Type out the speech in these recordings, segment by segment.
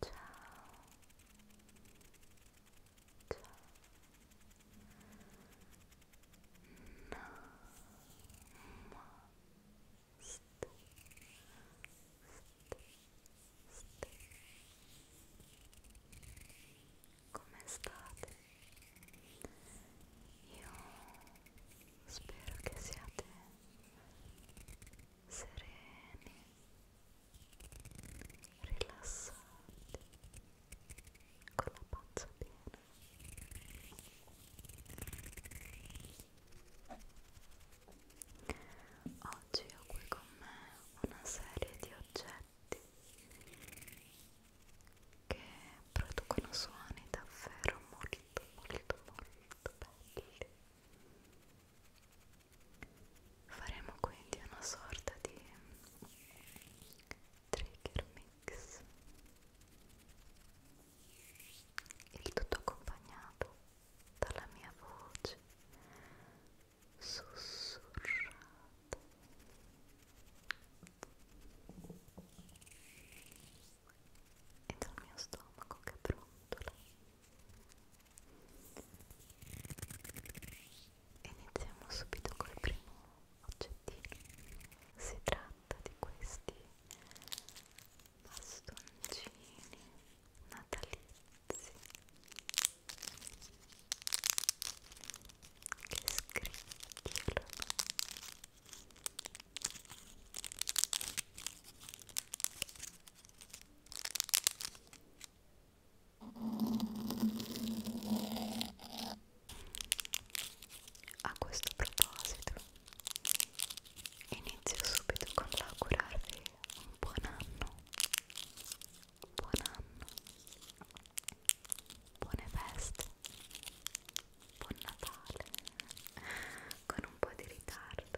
Ciao. Ciao. Namaste. Come state? Io spero che siate sereni, rilassati, con la pancia piena. Oggi ho qui con me una serie di oggetti che producono suoni davvero molto molto molto belli faremo quindi una sorta di trigger mix il tutto accompagnato dalla mia voce sussurrata e dal mio stomaco che brontola iniziamo subito col primo oggettino si tratta di questi bastoncini natalizi che scricchiolo a questo proposito inizio subito con l'augurarvi un buon anno buon anno buone feste Buon Natale con un po' di ritardo.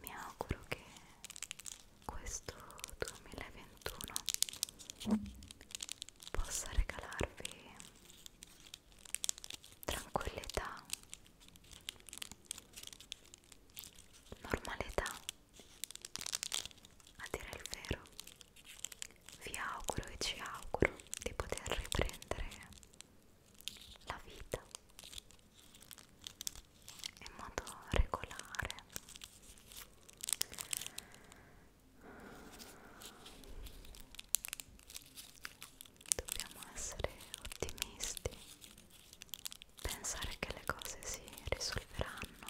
Mi auguro che questo 2021 possa regalarvi tranquillità, normalità a dire il vero, vi auguro e ci auguro di poter riprendere la vita in modo regolare. Dobbiamo essere ottimisti pensare che le cose si risolveranno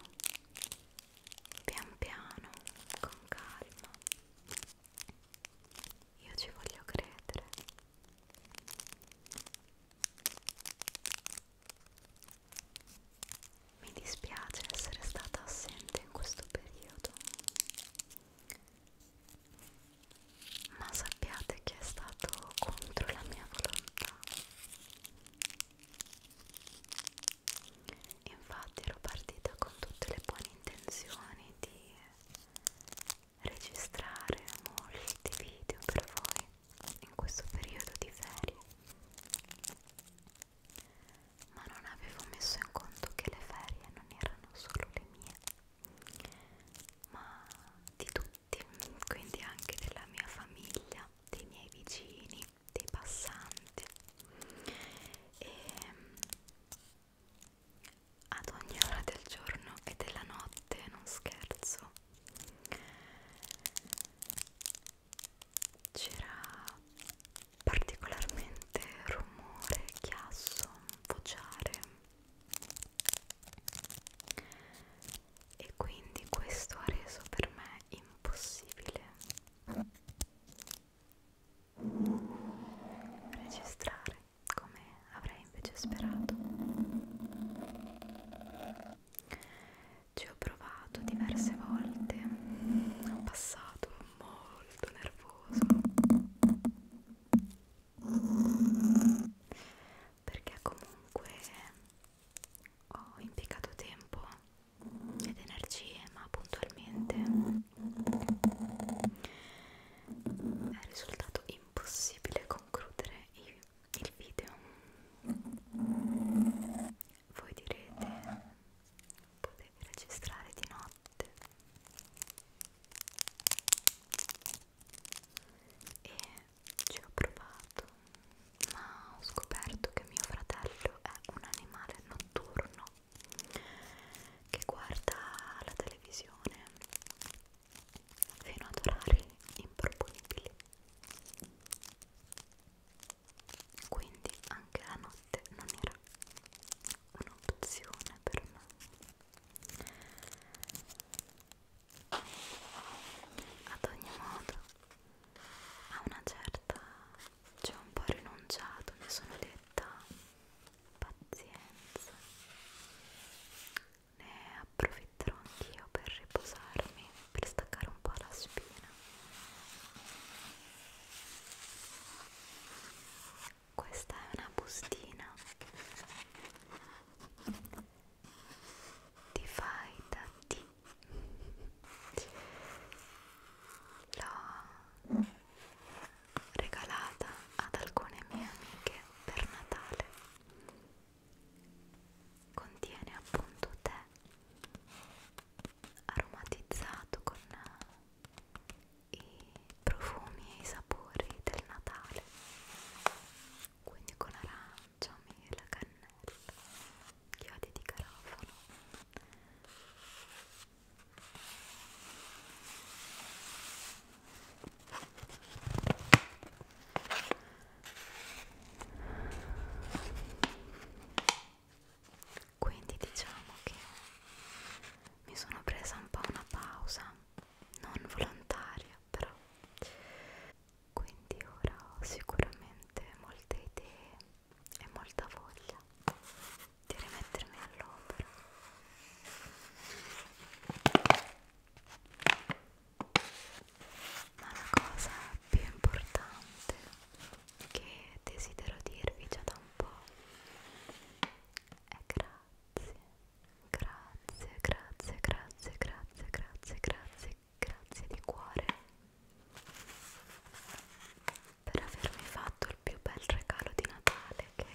pian piano, con calma. Io ci voglio credere. Mi dispiace essere stata assente in questo periodo, ma sappiate sapete che è stato contro la mia volontà infatti ero partita con tutte le buone intenzioni di registrare molti video per voi in questo periodo di ferie ma non avevo messo in conto che le ferie non erano solo le mie ma di tutti tutti, quindi anche della mia famiglia, dei miei vicini, dei passanti e ehm, ad ogni ora del giorno e della notte, non scherzo. C'era particolarmente rumore, chiasso, vociare e quindi questo ha reso per me impossibile registrare come avrei invece sperato ci ho provato diverse volte ho passato molto nervoso perché comunque ho impiegato tempo ed energie ma puntualmente è risultato impossibile concludere il, il video voi direte potevi registrare di notte e ci ho provato ma ho scoperto che mio fratello è un animale notturno che guarda la televisione fino ad orari improponibili quindi anche la notte non era un'opzione per me ad ogni modo a una certa ci ho un po' rinunciato mi sono detta pazienza ne approfitterò anch'io per riposarmi per staccare un po' la spina questa è una bustina ti fai da ti l'ho regalata ad alcune mie amiche per Natale contiene appunto tè aromatizzato con i profumi e i sapori del Natale quindi con arancia, mela, cannella, chiodi di garofano quindi diciamo che mi sono presa un po' una pausa non volontaria però quindi ora ho sicuramente molte idee e molta voglia di rimettermi all'opera ma la cosa più importante che desidero dirvi già da un po' è grazie Grazie, grazie, grazie, grazie, grazie, grazie, grazie di cuore per avermi fatto il più bel regalo di Natale che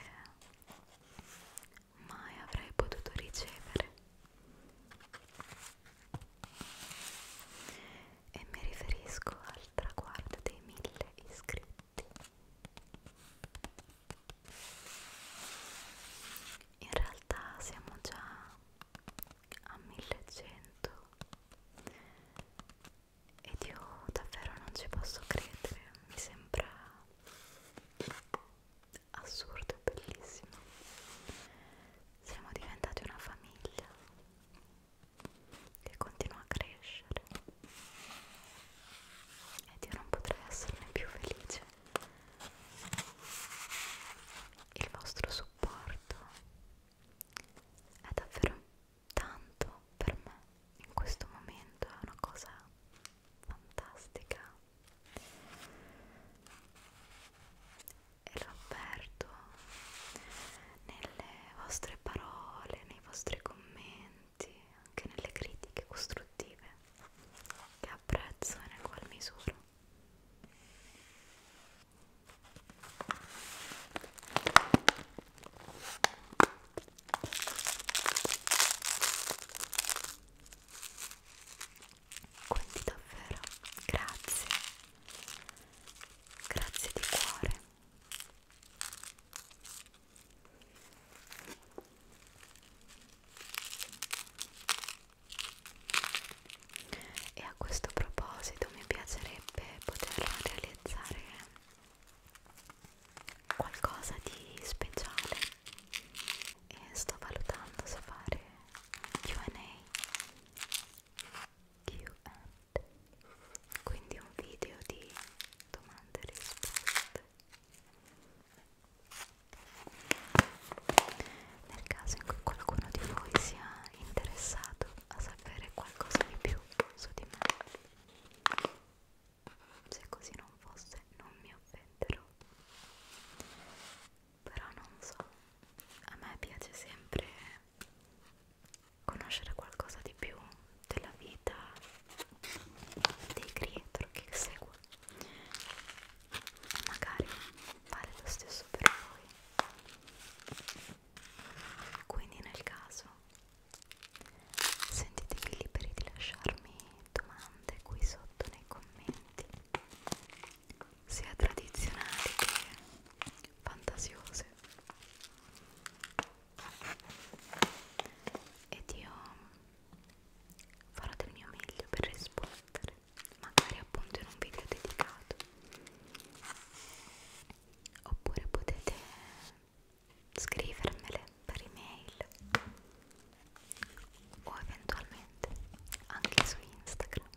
mai avrei potuto ricevere. E mi riferisco al traguardo dei mille iscritti in realtà siamo già a 1100 ed io davvero non ci posso credere mi sembra assurdo e bellissimo siamo diventati una famiglia che continua a crescere ed io non potrei esserne più felice. Il vostro supporto è davvero tanto per me in questo momento, è una cosa fantastica. E lo avverto nelle vostre parole, nei vostri commenti commenti, anche nelle critiche costruttive che apprezzo e nel qual misuro. Quindi davvero grazie, grazie di cuore e a questo proposito mi piacerebbe poter realizzare qualcosa di speciale e sto valutando se fare Q&A quindi un video di domande e risposte nel caso in cui qualcuno di voi sia interessato a sapere qualcosa di più su di me, se così non fosse non mi offenderò. Però non so, a me piace sempre conoscere qualcosa di più della vita dei creator che seguo magari vale lo stesso per voi quindi nel caso sentitevi liberi di lasciarmi domande qui sotto nei commenti sia tradizionali che fantasiose ed io farò del mio meglio per rispondere magari appunto in un video dedicato oppure potete scrivermele per email o eventualmente anche su Instagram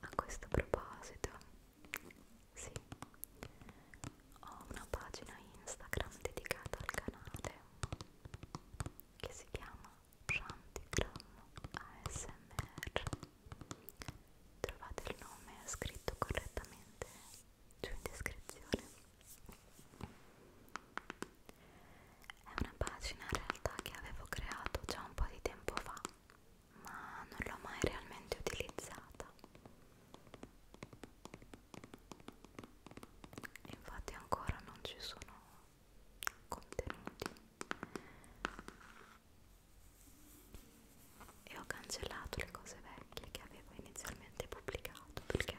a questo proposito, sì, ho una pagina Instagram dedicata al canale che si chiama Shantigram ASMR. Trovate il nome scritto correttamente giù in descrizione. È una pagina in realtà che avevo creato già un po' di tempo fa, ma non l'ho mai realmente utilizzata. Infatti ancora non ci sono contenuti. E ho cancellato le cose vecchie che avevo inizialmente pubblicato perché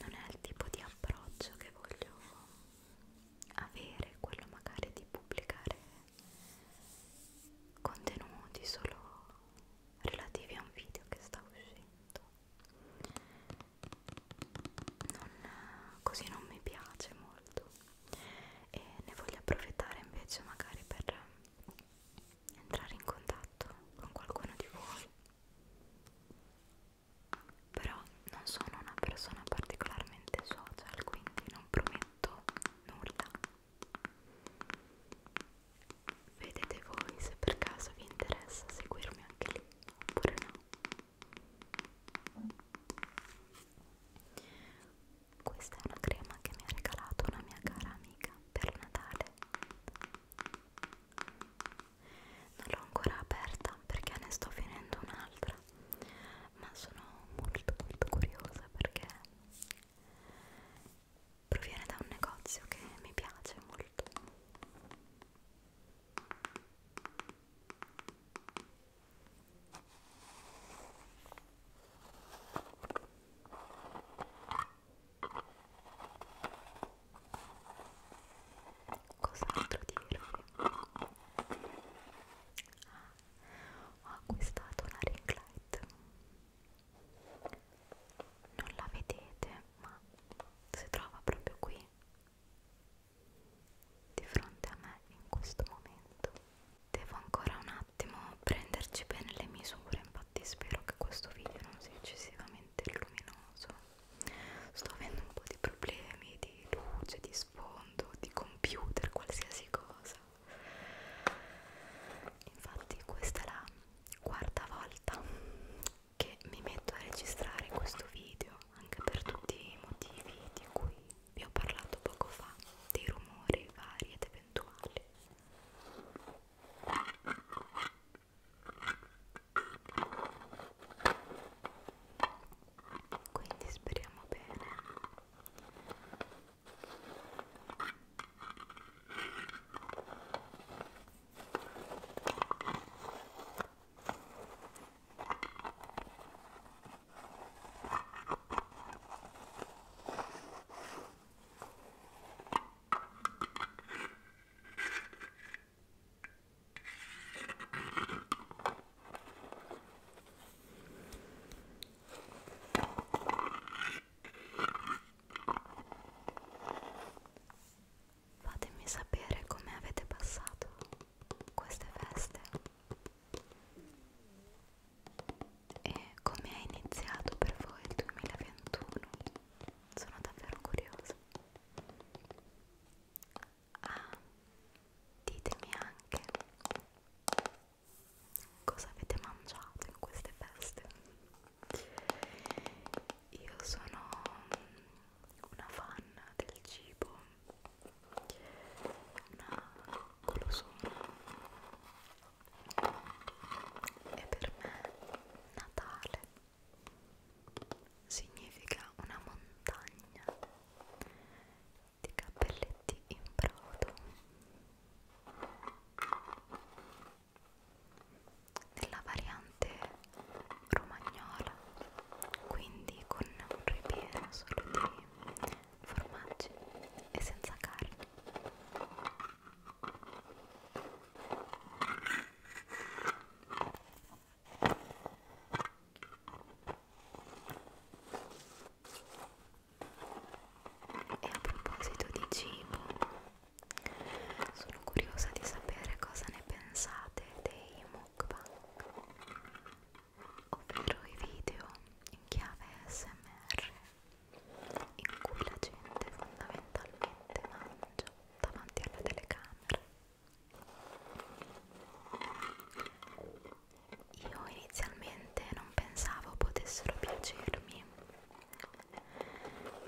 non è il tipo di approccio che voglio avere, quello magari di pubblicare contenuti solo relativi a un video che sta uscendo. Non, così non mi piace molto e ne voglio approfittare invece magari per entrare in contatto con qualcuno di voi però non sono una persona particolarmente social quindi non prometto nulla vedete voi se per caso vi interessa seguirmi anche lì oppure no questa è una crema che mi ha regalato una mia cara amica per Natale non l'ho ancora aperta perché ne sto finendo un'altra ma sono molto molto curiosa perché proviene da un negozio che mi piace molto Cos'altro dirvi? Ah, ho acquistato una ring light. Non la vedete, ma si trova proprio qui, di fronte a me in questo momento. Devo ancora un attimo prenderci bene le misure, infatti spero che questo video non sia eccessivamente estremamente luminoso sto avendo un po' di problemi di luce, di sfondo, di computer, qualsiasi cosa infatti questa è la quarta volta che mi metto a registrare questo video anche per tutti i motivi di cui vi ho parlato poco fa dei rumori vari ed eventuali quindi speriamo bene Fatemi sapere come avete passato queste feste. E come è iniziato per voi il 2021? Sono davvero curiosa. Ah, ditemi anche cosa avete mangiato in queste feste. Io sono una fan del cibo, una golosona e per me Natale significa una montagna di cappelletti in brodo nella variante romagnola quindi con un ripieno solo di formaggi e senza carne e a proposito di cibo, sono curiosa di sapere cosa ne pensate dei mukbang, ovvero i video in chiave SMR in cui la gente fondamentalmente mangia davanti alla telecamera. Io inizialmente non pensavo potessero piacermi,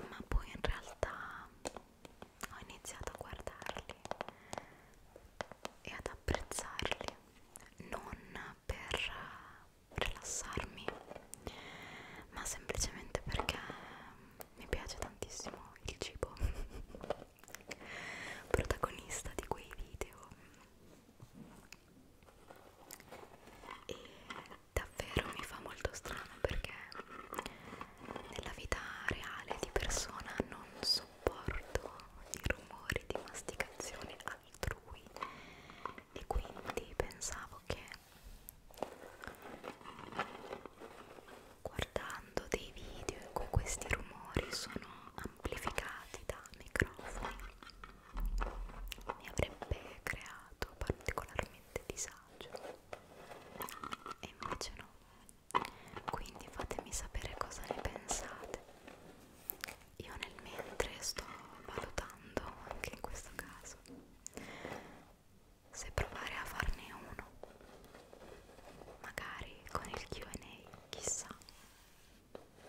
ma poi in realtà ho iniziato a guardarli e ad apprezzarli non per rilassarmi ma semplicemente perché mi piace tantissimo il cibo protagonista di quei video e davvero mi fa molto strano perché nella vita reale di persona non sopporto i rumori di masticazione altrui e quindi pensavo che mm, guardando dei video in cui questi rumori sono amplificati da microfoni mi avrebbe creato particolarmente disagio e invece no quindi fatemi sapere cosa ne pensate io nel mentre sto valutando anche in questo caso se provare a farne uno magari con il Q&A chissà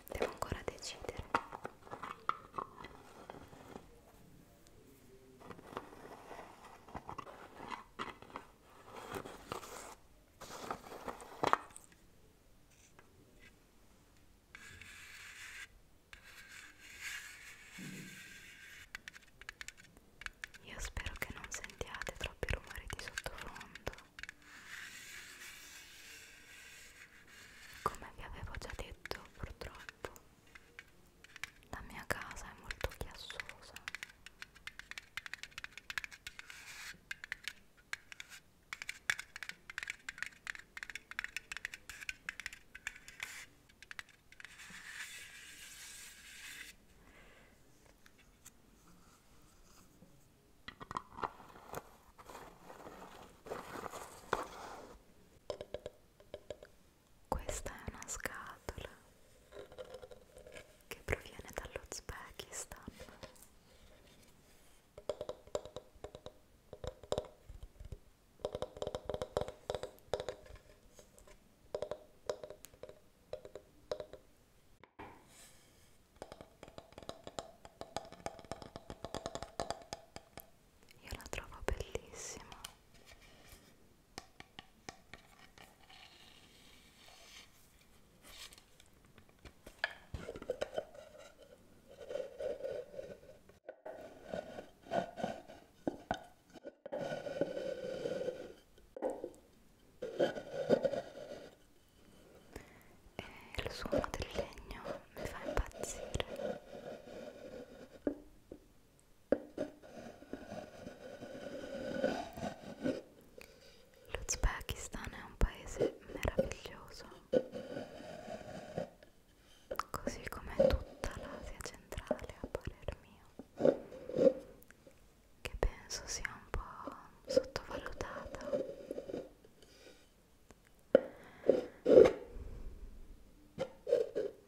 devo ancora decidere io spero che non sentiate troppi rumori di sottofondo. Come vi avevo già detto, purtroppo, la mia casa è molto chiassosa. Questa è una scatola che proviene dall'Uzbekistan io la trovo bellissima. E eh, il suono del legno mi fa impazzire. L'Uzbekistan è un paese meraviglioso così come tutta l'Asia centrale a parer mio che penso sia un po' sottovalutata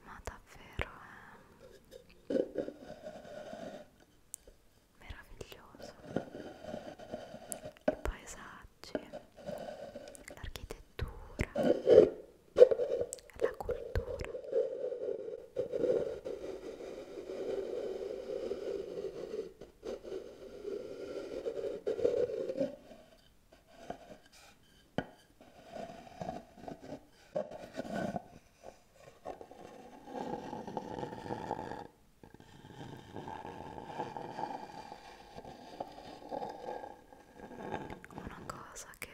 ma davvero è meraviglioso il paesaggio paesaggi, l'architettura, la cultura una cosa che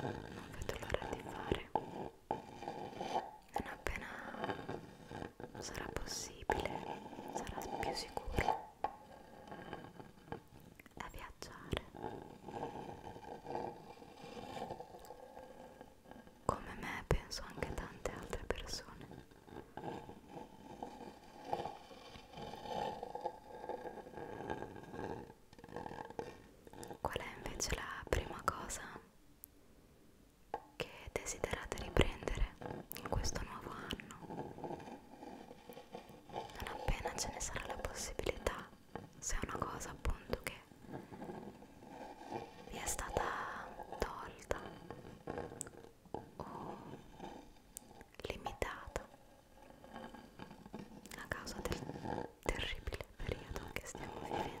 non vedo l'ora di fare non appena sarà possibile sarà più sicuro è viaggiare come me penso anche tante altre persone Qual è invece la prima cosa che desiderate riprendere in questo nuovo anno? Non appena ce ne sarà la possibilità, se è una cosa appunto che vi è stata tolta limitata a causa del terribile periodo che stiamo vivendo.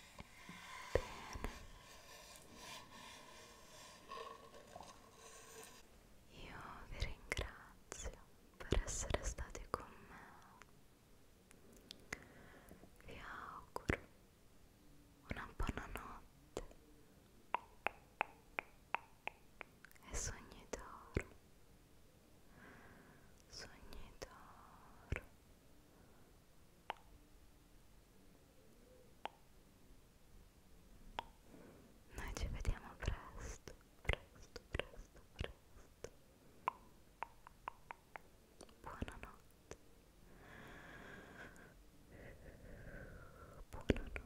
Bene. Io vi ringrazio per essere stati con me. Vi auguro una buona notte e sogni d'oro. Sogni d'oro. Noi ci vediamo presto, presto, presto, presto. Buonanotte. Buonanotte, buonanotte.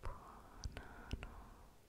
Buonanotte.